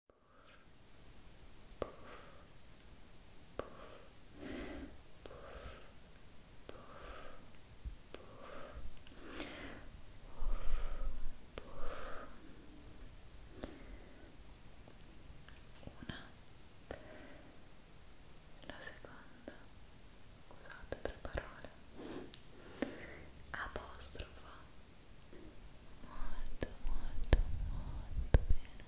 una la seconda scusate tre parole apostrofo molto molto molto bene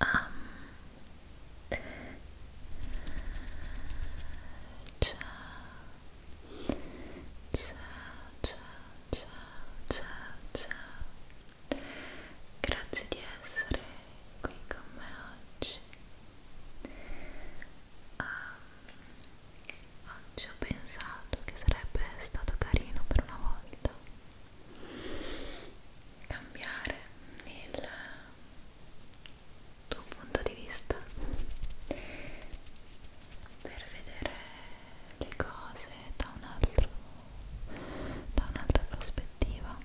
um, ciao ciao ciao ciao ciao grazie di essere qui con me oggi um, oggi ho pensato che sarebbe stato carino per una volta cambiare il tuo punto di vista per vedere le cose da, un altro, da un'altra prospettiva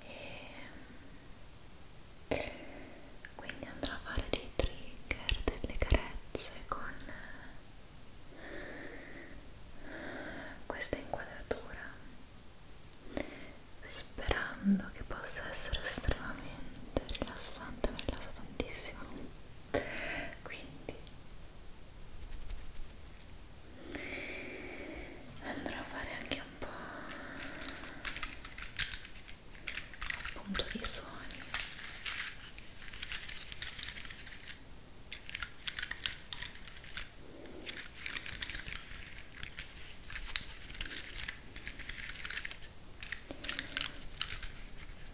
e quindi andrò a fare dei trigger, delle carezze con questa inquadratura sperando che possa essere estremamente rilassante, mi rilassa tantissimo quindi andrò a fare anche un po' appunto di suoni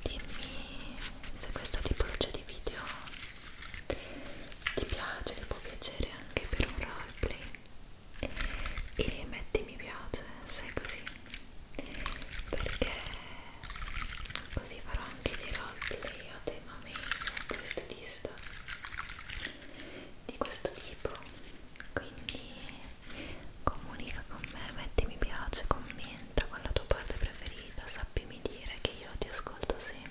Dimmi se questa tipologia di video ti piace, ti può piacere anche per un roleplay e metti mi piace se è così perché così farò anche dei roleplay a tema main, a questo di questo tipo quindi comunica con me metti mi piace commenta con la tua parte preferita sappimi dire che io ti ascolto sempre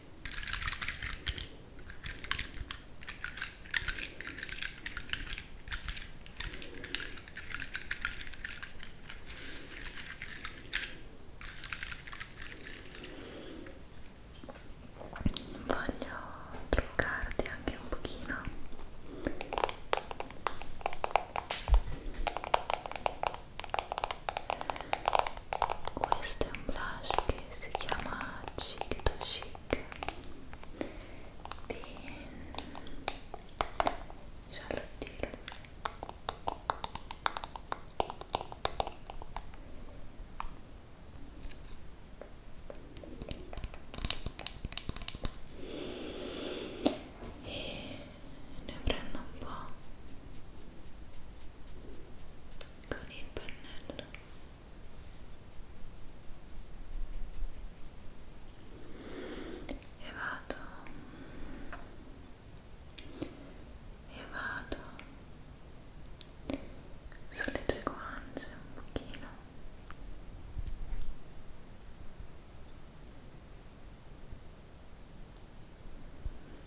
Voglio truccarti anche un pochino questo è un blush che si chiama Chic to Chic di Charlotte Tilbury e ne prendo un po' con il pannello e vado e vado sulle tue guance un pochino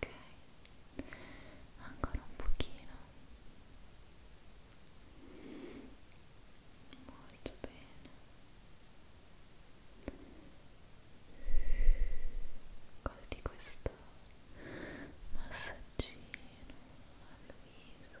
ok ancora un pochino molto bene colti questo massaggino al viso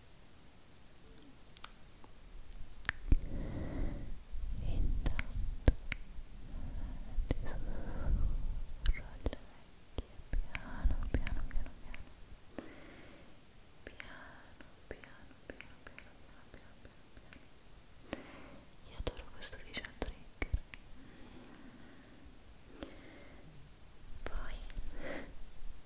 piano. Io adoro questo vision trigger. Poi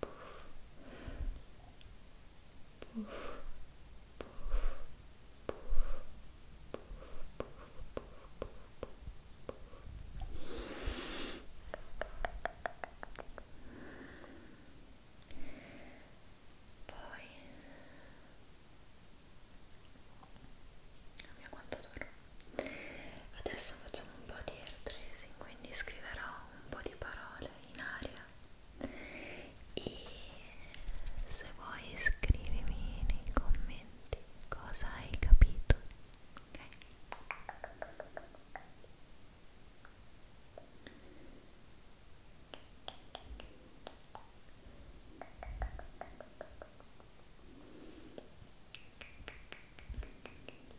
puff, puff, puff, puff, puff, puff, poi non mia quanto duro adesso facciamo un po' di air tracing quindi scriverò un po' di parole in aria e se vuoi scrivimi nei commenti cosa hai capito ok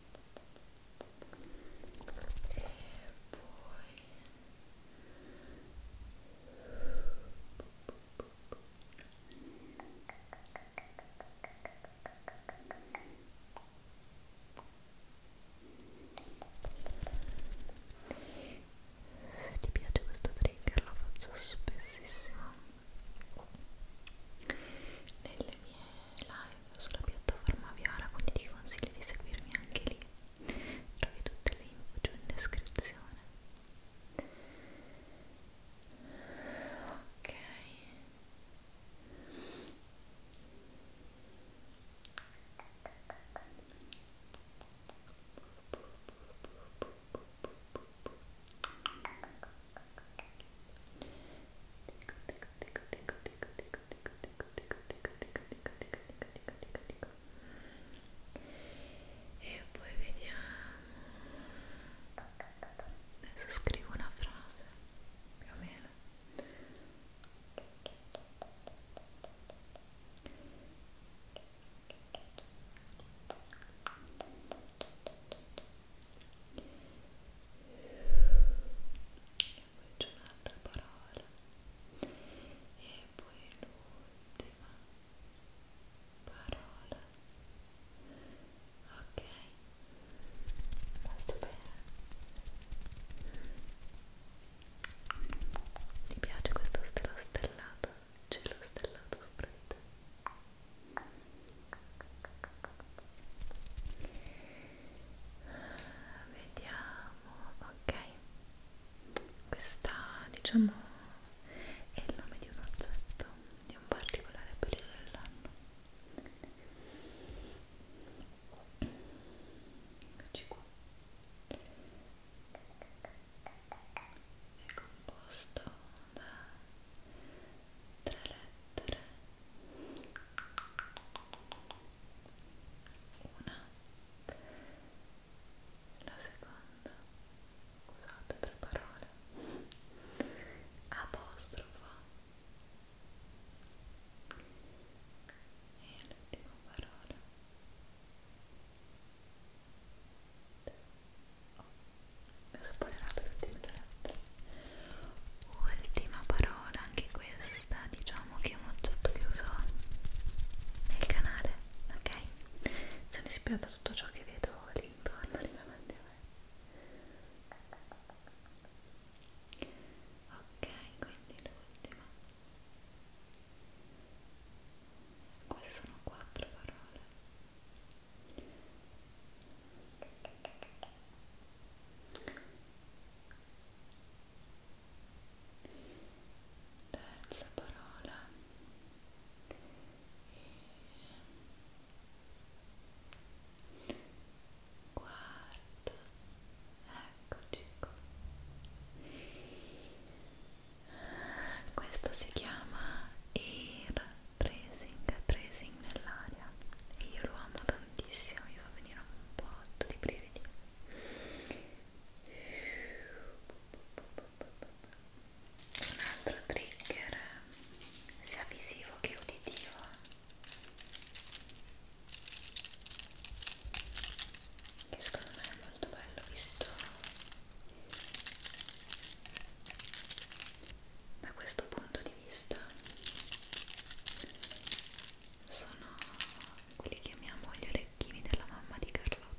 e poi se ti piace questo trigger lo faccio spessissimo nelle mie live sulla piattaforma Viola, quindi ti consiglio di seguirmi anche lì. Trovi tutte le info giù in descrizione. Ok e poi vediamo adesso scrivo una frase più o meno poi c'è un'altra parola e poi l'ultima parola ok molto bene ti piace questo stelo stellato? c'è lo stellato sopra di te vediamo ok questa diciamo è il nome di un oggetto di un particolare periodo dell'anno eccoci qua è composto da tre lettere una la seconda scusate tre parole apostrofo e l'ultima parola oh, mi ho spoilerato l'ultima lettera ultima parola anche questa questa diciamo che è un oggetto che uso nel canale, ok? Sono ispirata a tutto ciò che vedo lì intorno, lì davanti a me. Ok, quindi l'ultima. Queste sono quattro parole terza parola e quarta eccoci qua questo si chiama air tracing tracing nell'aria e io lo amo da tantissimo, mi fa venire un botto di brividi un altro trigger sia visivo che uditivo che secondo me è molto bello visto da questo punto di vista sono quelli che chiamiamo gli orecchini della mamma di Carlotta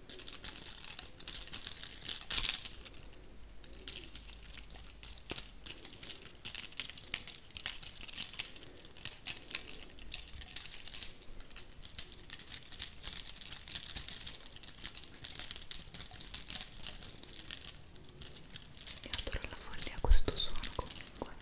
Io adoro la follia questo suono comunque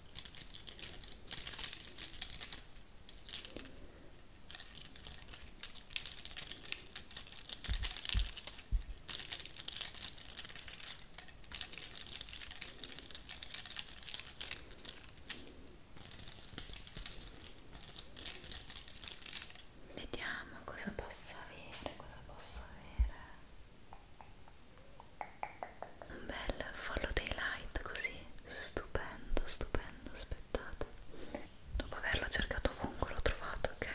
Vediamo cosa posso avere, cosa posso avere un bel follow daylight così stupendo stupendo aspettate dopo averlo cercato ovunque l'ho trovato ok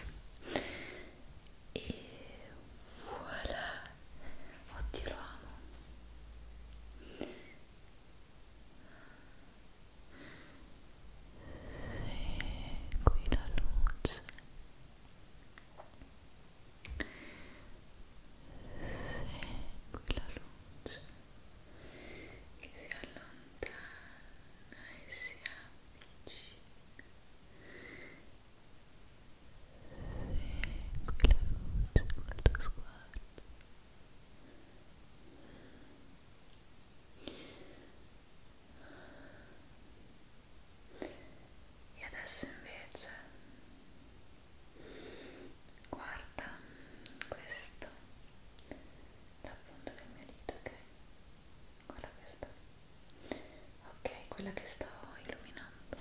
e voilà oddio lo amo sì, qui la luce Segui la luce che si allontana e si avvicina. Segui la luce col tuo sguardo. E adesso invece guarda questo la punta del mio dito ok guarda questa ok quella che sto illuminando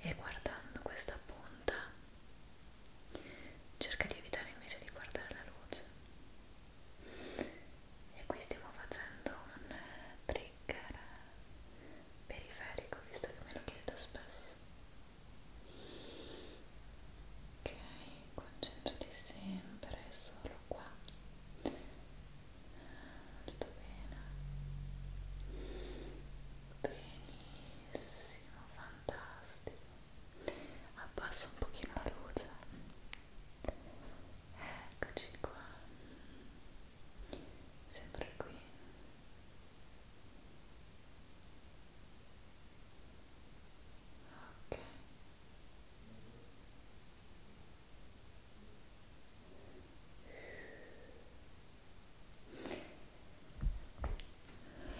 e guardando questa punta cerca di evitare invece di guardare la luce e qui stiamo facendo un trigger trigger periferico visto che me lo chiedo spesso ok concentrati sempre solo qua tutto bene benissimo fantastico abbasso un pochino la luce eccoci qua sempre qui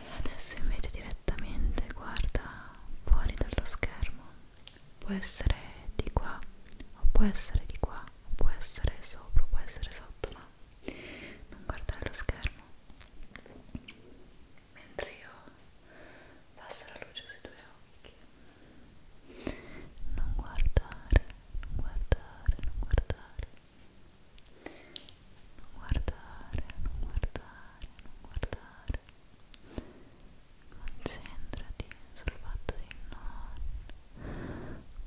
ok adesso invece direttamente guarda fuori dallo schermo può essere di qua o può essere di qua o può essere sopra o può essere sotto ma non guardare lo schermo mentre io passo la luce sui tuoi occhi non guardare non guardare non guardare non guardare non guardare non guardare concentrati sul fatto di non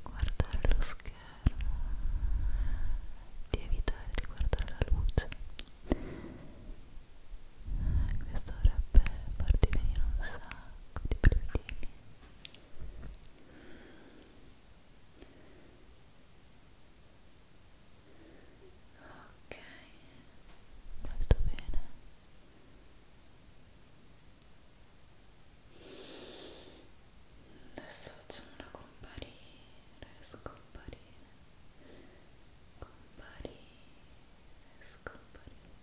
guardare lo schermo, di evitare di guardare la luce. Questo dovrebbe farti venire un sacco di brividini. Ok, molto bene adesso facciamo una comparire scomparire comparire scomparire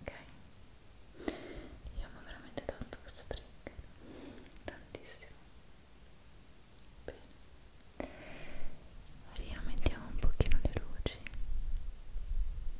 ok io amo veramente tanto questo trick tantissimo bene rimettiamo un pochino le luci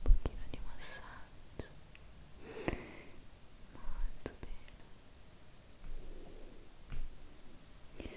pochino di massaggio molto bene molto molto molto bene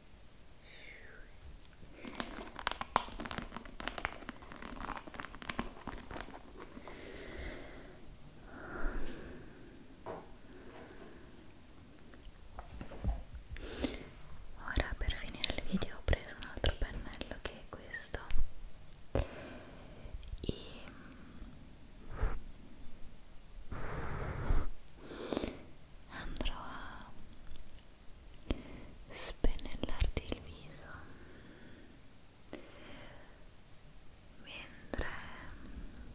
Ora per finire il video ho preso un altro pennello che è questo e andrò a spennellarti il viso mentre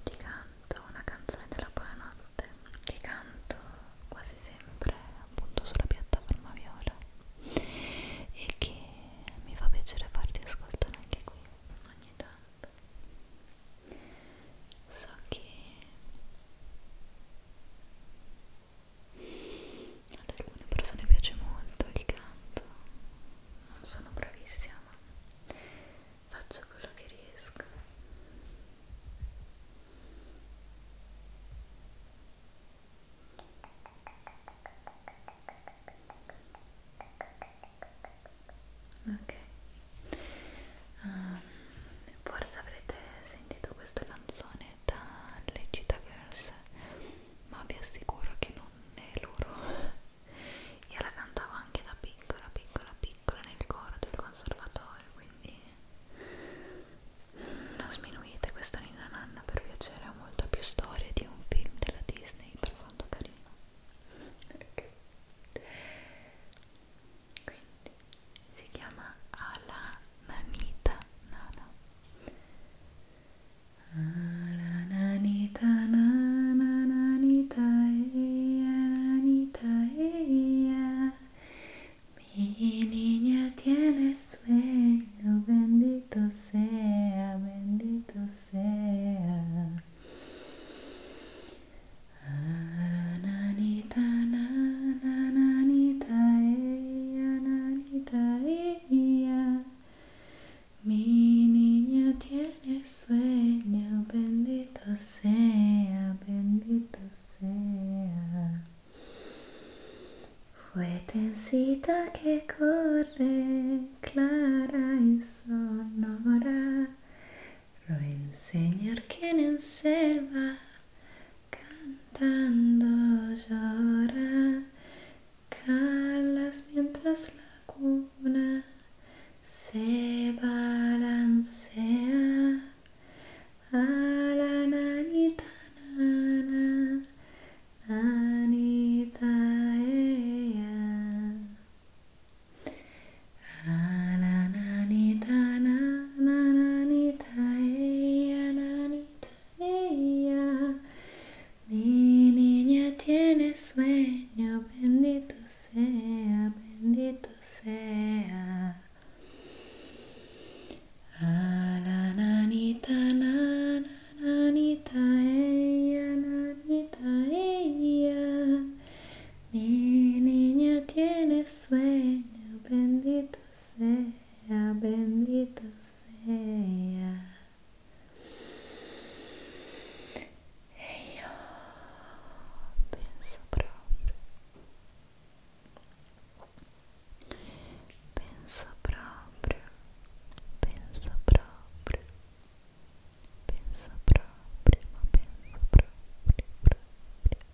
ti canto una canzone della buonanotte che canto quasi sempre appunto sulla piattaforma viola e che mi fa piacere farti ascoltare anche qui ogni tanto so che ad alcune persone piace molto il canto non sono bravissima ma faccio quello che riesco ok um, forse avrete sentito questa canzone dalle Cheetah Girls ma vi assicuro che non è loro io la cantavo anche da piccola piccola piccola nel coro del conservatorio quindi non sminuite questa Nina Nanna per piacere ha molta più storia di un film della Disney per quanto carino ok quindi si chiama Ala Nanita Nana Ala Nanita Nana Nanita Eia Nanita Eia Mi niña tiene sueño Bendito sea, bendito sea Mi niña tiene sueño, bendito sea, bendito sea. fue tencita que corre, clara y sonora lo enseñar en selva cantando llora, calas mientras la cuna se balancea a la nanita nana, nanita mi niña tiene sueño, bendito sea, bendito sea. A la nanita, la ella, nanita, ella. Mi niña tiene sueño, bendito seja, bendito sea. E io penso proprio, penso proprio, penso proprio, penso penso ma penso proprio, proprio,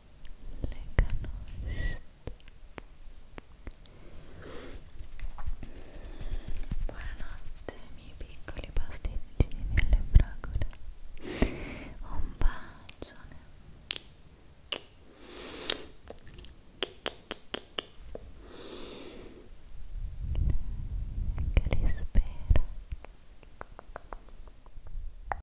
le canoste buonanotte miei piccoli pasticcini nelle fragole un bacione che li spero